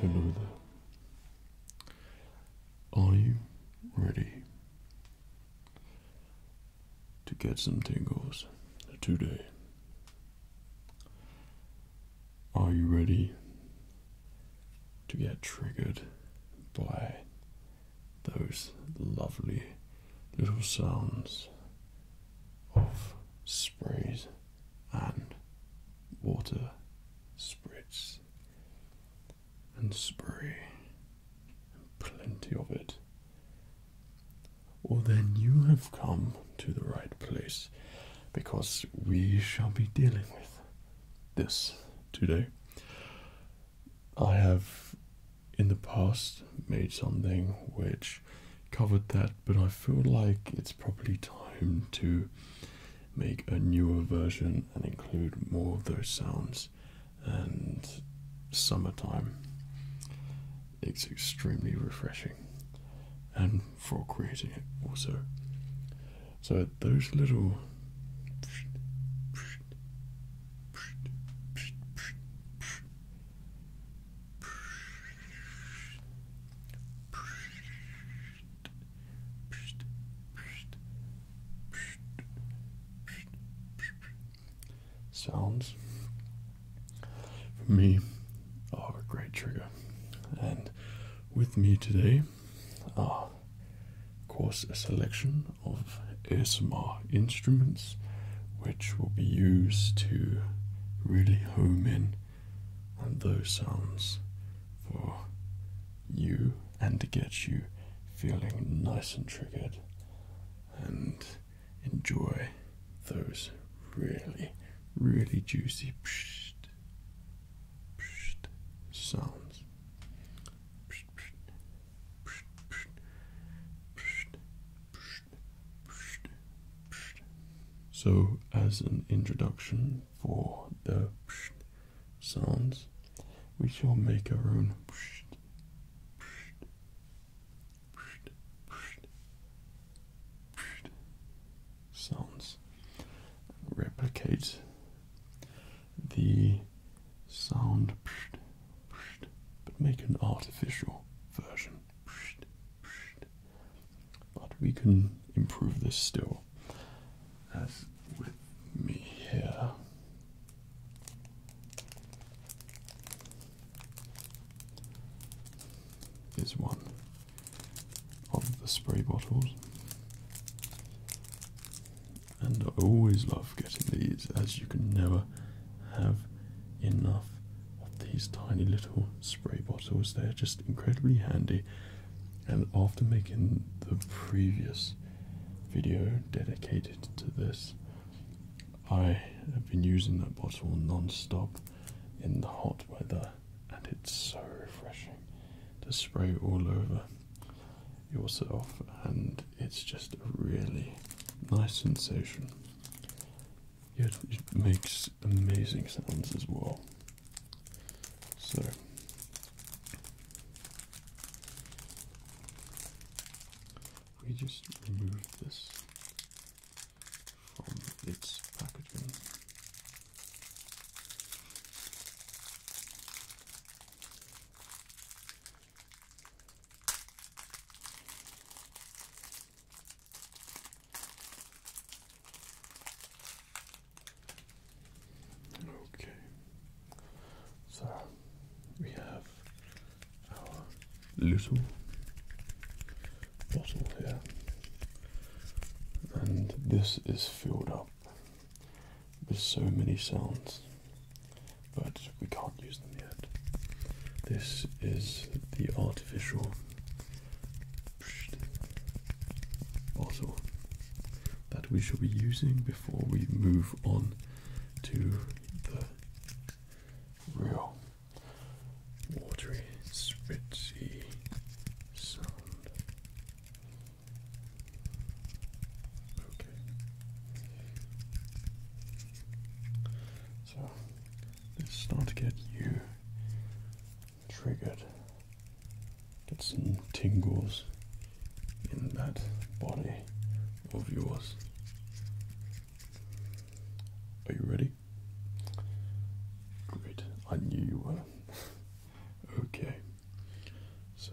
Hello there. Are you ready to get some tingles today? Are you ready to get triggered by those lovely little sounds of sprays and water spritz and spray plenty of it. Well, then you have come to the right place because we shall be dealing with this today. I have in the past made something which covered that, but I feel like it's probably time to make a newer version and include more of those sounds. And summertime, it's extremely refreshing and for creating it also. So, those little Sounds for me are a great trigger, and with me today are, of course, a selection of ASMR instruments which will be used to really home in on those sounds for you and to get you feeling nice and triggered and enjoy those really, really juicy pshht, pshht sounds. So, as an introduction for the sounds, we shall make our own. Sounds replicate the sound but make an artificial version. But we can improve this still. As with me here. Is one of the spray bottles, and I always love getting these as you can never have enough of these tiny little spray bottles. They're just incredibly handy. And after making the previous video dedicated to this, I have been using that bottle non-stop in the hot weather and it's so refreshing to spray all over yourself, and it's just a really nice sensation. Yet it makes amazing sounds as well. So. We just remove this from its packaging. Okay, so we have our little bottle here, and this is filled up there's so many sounds, but we can't use them yet. This is the artificial bottle that we shall be using before we move on to the real watery, spritzy sound. So let's start to get you triggered. Get some tingles in that body of yours. Are you ready? Great, I knew you were. okay, so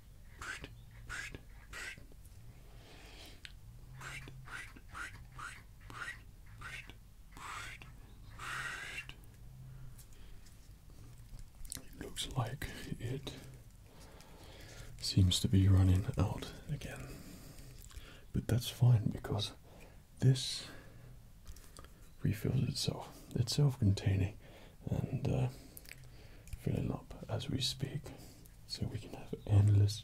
It looks like it seems to be running out again, but that's fine because this refills itself. It's self containing and uh, filling up as we speak so we can have endless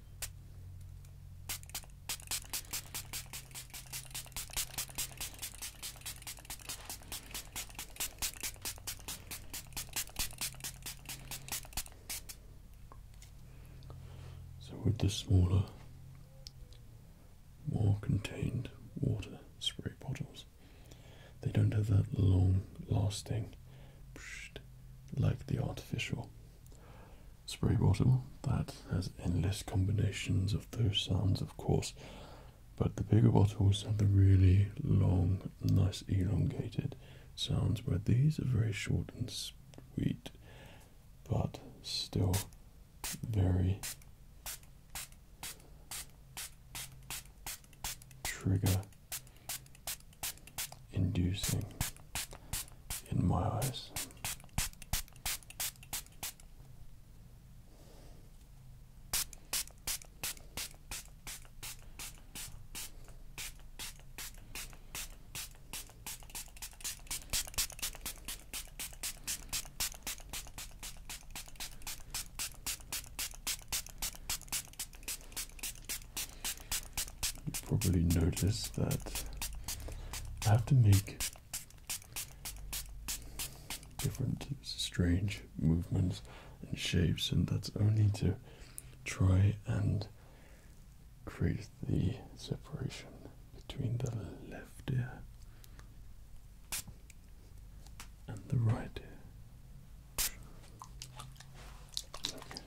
So, with the smaller, more contained water spray bottles, they don't have that long lasting like the artificial spray bottle that has endless combinations of those sounds, of course, but the bigger bottles have the really long, nice, elongated sounds, where these are very short and sweet, but still very trigger inducing in my eyes you probably noticed that I have to make different strange movements and shapes, and that's only to try and create the separation between the left ear and the right ear.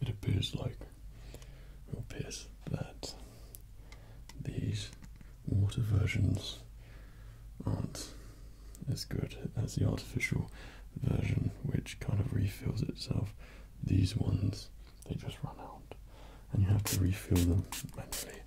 it appears like will appears that these water versions aren't as good as the artificial version which kind of refills itself. These ones they just run out and you have to refill them manually.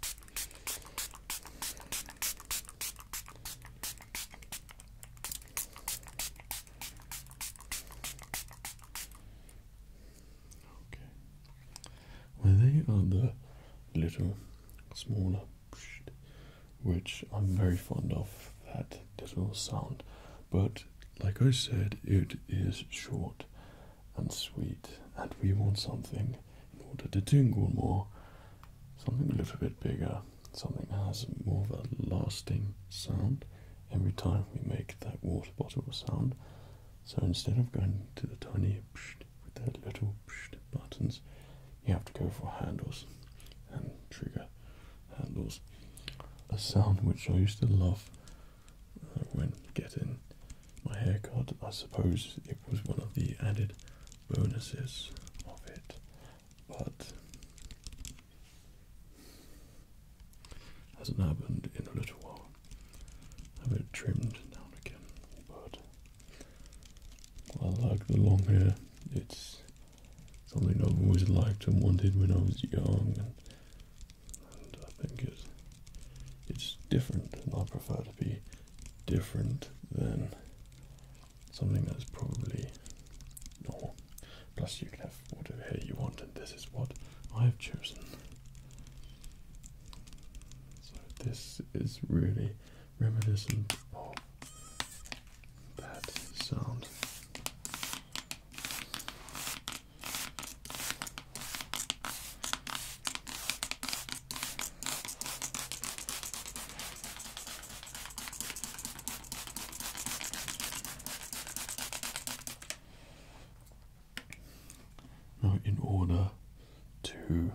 Well, they are the little, smaller, which I'm very fond of that little sound, but like I said, it is short and sweet, and we want something in order to tingle more, something a little bit bigger, something that has more of a lasting sound. Every time we make that water bottle sound, so instead of going to the tiny with their little buttons, you have to go for handles and trigger handles. A sound which I used to love uh, when getting my haircut. I suppose it was one of the added bonuses of it, but Hasn't happened in a little while. Have it trimmed down again, but I like the long hair. It's something I've always liked and wanted when I was young, and, I think it's it's different, and I prefer to be different than something that's probably normal. Plus, you can have whatever hair you want, and this is what I have chosen. So, this is really reminiscent of that sound. Now, in order to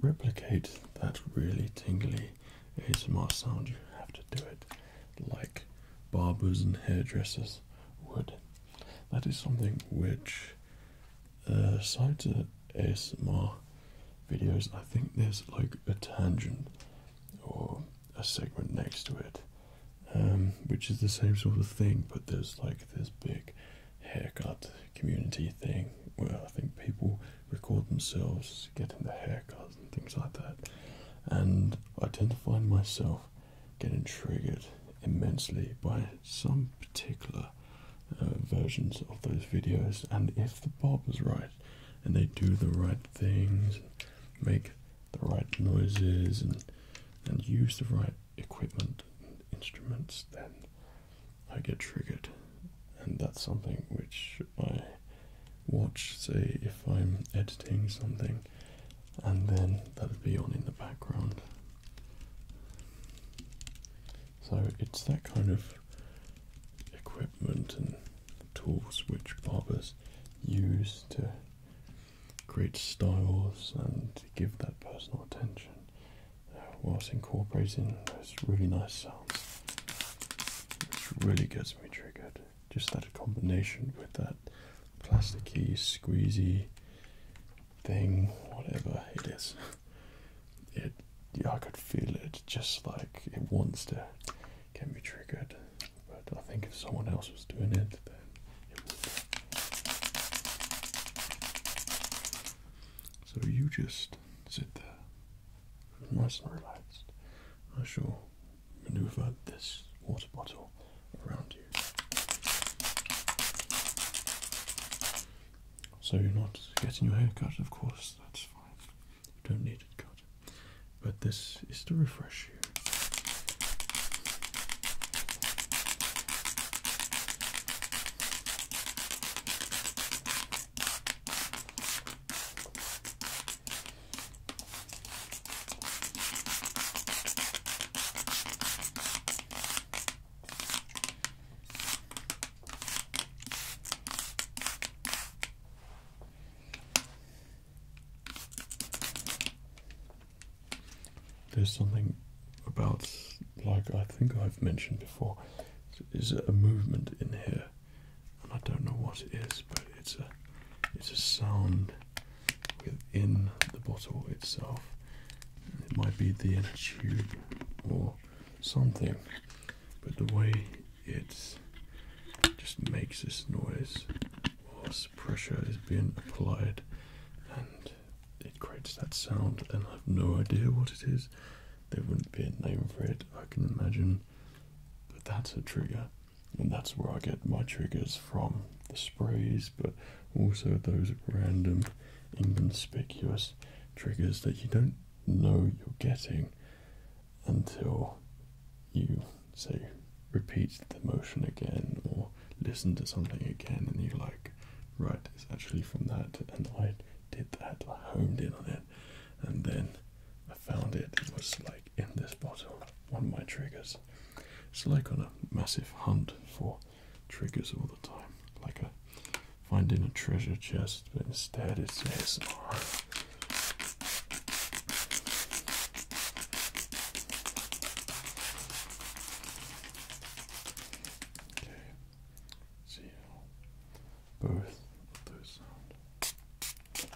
replicate that really tingly ASMR sound, you have to do it like barbers and hairdressers would. That is something which, uh, side to ASMR videos, I think there's like a tangent or a segment next to it um, which is the same sort of thing, but there's like this big haircut community thing where I think people record themselves getting their haircuts and things like that. And I tend to find myself getting triggered immensely by some particular uh, versions of those videos. And if the barber's right and they do the right things, make the right noises and and use the right equipment and instruments, then I get triggered, and that's something which I watch. Say if I'm editing something, and then that'd be on in the background. So it's that kind of equipment and tools which barbers use to Create styles and give that personal attention uh, whilst incorporating those really nice sounds, which really gets me triggered. Just that combination with that plasticky, squeezy thing, whatever it is. It, yeah, I could feel it, just like it wants to can be triggered, but I think if someone else was doing it, then it would. So you just sit there, nice and relaxed. I shall maneuver this water bottle around you. So you're not getting your hair cut, of course, that's fine. You don't need it cut. But this is to refresh you. There's something about, like I think I've mentioned before, is a movement in here, and I don't know what it is, but it's a it's a sound within the bottle itself. It might be the inner tube or something, but the way it just makes this noise pressure is being applied and it creates that sound and I have no idea what it is. There wouldn't be a name for it, I can imagine. But that's a trigger. And that's where I get my triggers from. The sprays, but also those random, inconspicuous triggers that you don't know you're getting until you say repeat the motion again or listen to something again and you're like right it's actually from that and i did that i homed in on it and then i found it it was like in this bottle one of my triggers it's like on a massive hunt for triggers all the time like a finding a treasure chest but instead it's asmr oh, Okay. See how both of those sound. Okay.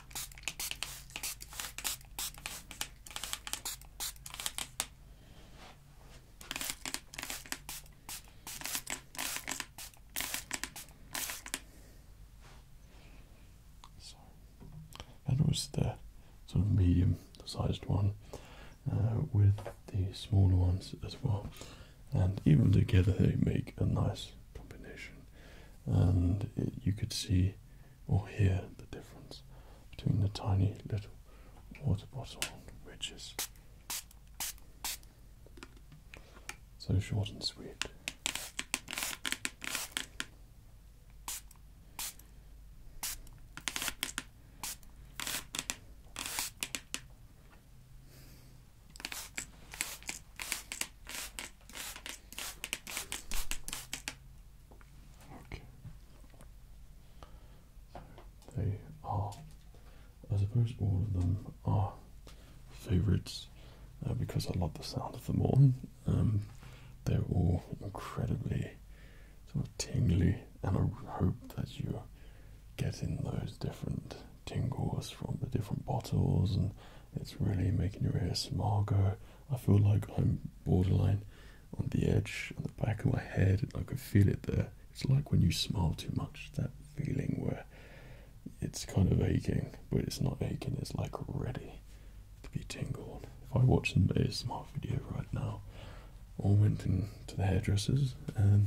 So that was the sort of medium-sized one uh, with the smaller ones as well, and even together they make a nice combination. And you could see or hear the difference between the tiny little water bottle, which is so short and sweet they are, I suppose, all of them are favorites uh, because I love the sound of them all. Um, they're all incredibly sort of tingly, and I hope that you're getting those different tingles from the different bottles, and it's really making your ears smile go. I feel like I'm borderline on the edge, on the back of my head, I could feel it there. It's like when you smile too much, that feeling where it's kind of aching, but it's not aching, it's like ready to be tingled if I watched an ASMR video right now or went into the hairdressers and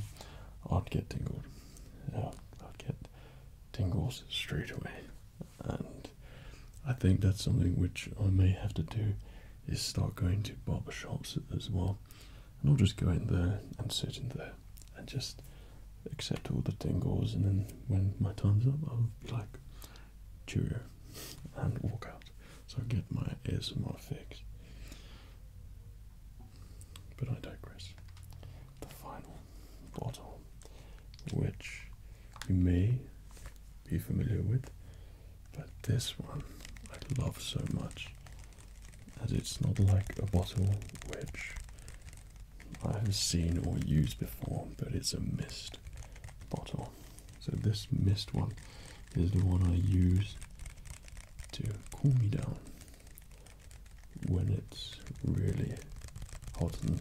I'd get tingled. I'd get tingles straight away. And I think that's something which I may have to do is start going to barber shops as well. And I'll just go in there and sit in there and just Except all the tingles, and then when my time's up, I'll be like, cheerio, and walk out. So I get my ASMR fixed. But I digress. The final bottle, which you may be familiar with, but this one I love so much, as it's not like a bottle which I have seen or used before, but it's a mist bottle. So this mist one is the one I use to cool me down when it's really hot and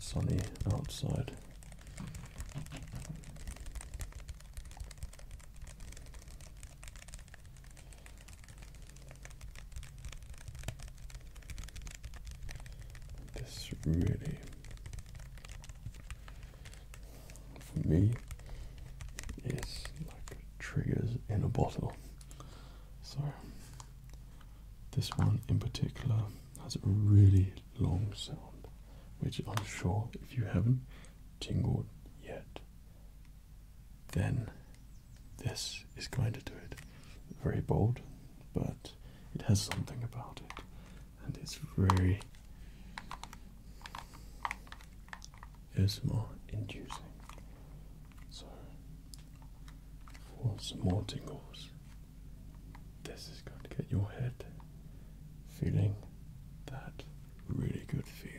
sunny outside. This really, for me, is like triggers in a bottle. So, this one in particular has a really long sound, which I'm sure if you haven't tingled yet, then this is going to do it. Very bold, but it has something about it. And it's very more inducing. So, for more tingles, this is going to get your head feeling that really good feeling.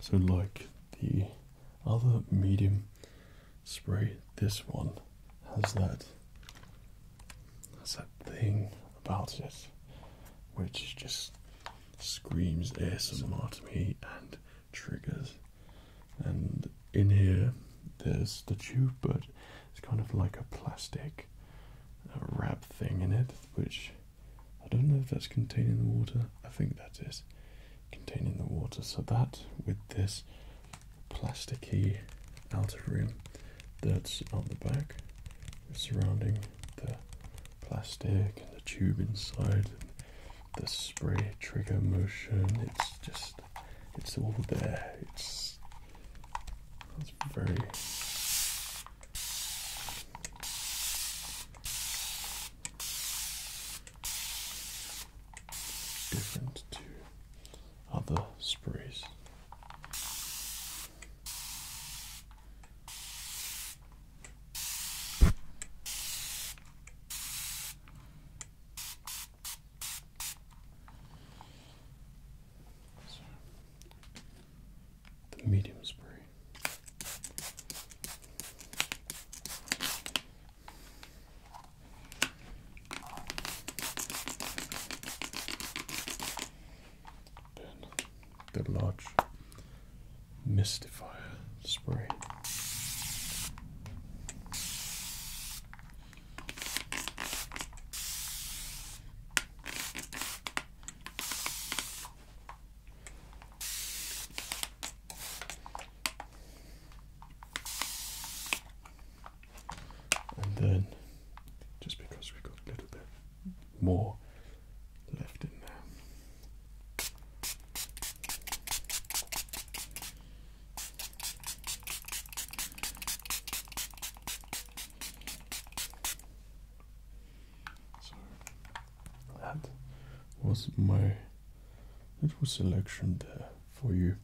So, like the other medium spray, this one has that has that thing about it, which just screams ASMR to me and triggers. And in here, there's the tube, but it's kind of like a plastic uh, wrap thing in it, which I don't know if that's containing the water. I think that is containing the water. So that with this plasticky outer rim that's on the back, surrounding the plastic and the tube inside, the spray trigger motion. It's just, it's all there. It's that's very different to other sprays the medium spray. Then the large mystifier spray. And then, just because we've got a little bit more left in there, that was my little selection there for you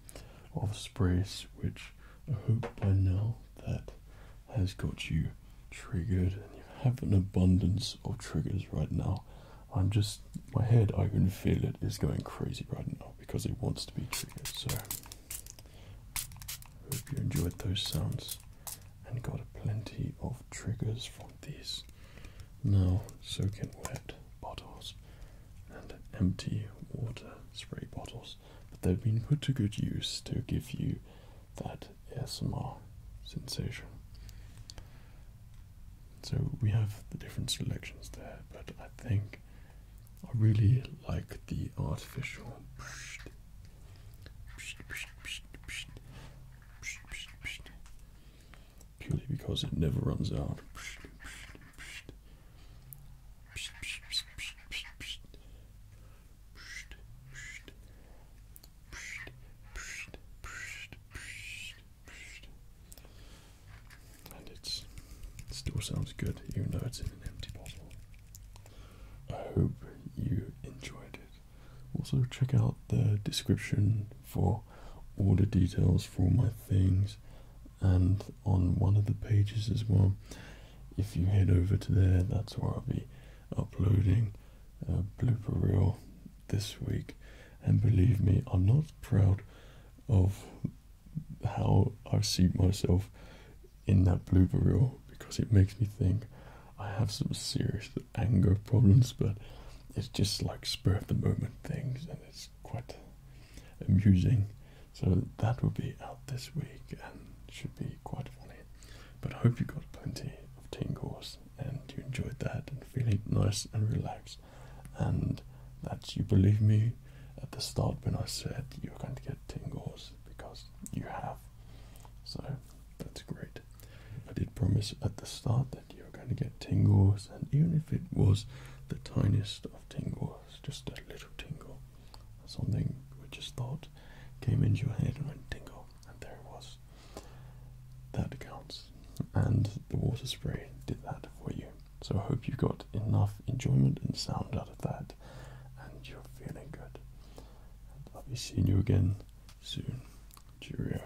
of sprays which I hope by now that has got you triggered and you have an abundance of triggers right now. I'm just my head I can feel it is going crazy right now because it wants to be triggered. So, hope you enjoyed those sounds and got plenty of triggers from these now soaking wet bottles and empty water spray bottles. But they've been put to good use to give you that ASMR sensation. So we have the different selections there, but I think I really like the artificial. Purely because it never runs out. And it still sounds good, even though it's in an empty bottle. I hope you enjoyed it. Also, check out the description for all the details for my things, and on one of the pages as well. If you head over to there, that's where I'll be uploading uh, blooper reel this week. And believe me, I'm not proud of how I see myself in that blue reel because it makes me think I have some serious anger problems, but it's just like spur of the moment things, and it's quite amusing. So that will be out this week and should be quite funny. But I hope you got plenty of tingles and you enjoyed that and feeling nice and relaxed and that you believe me at the start when I said you're going to get tingles because you have. So that's great. I did promise at the start that you're going to get tingles and even if it was the tiniest of tingles, just a little tingle, something which just thought came into your head and went tingle and there it was. That counts. And the water spray did that for you. So I hope you got enough enjoyment and sound out of that and you're feeling good. And I'll be seeing you again soon. Cheerio.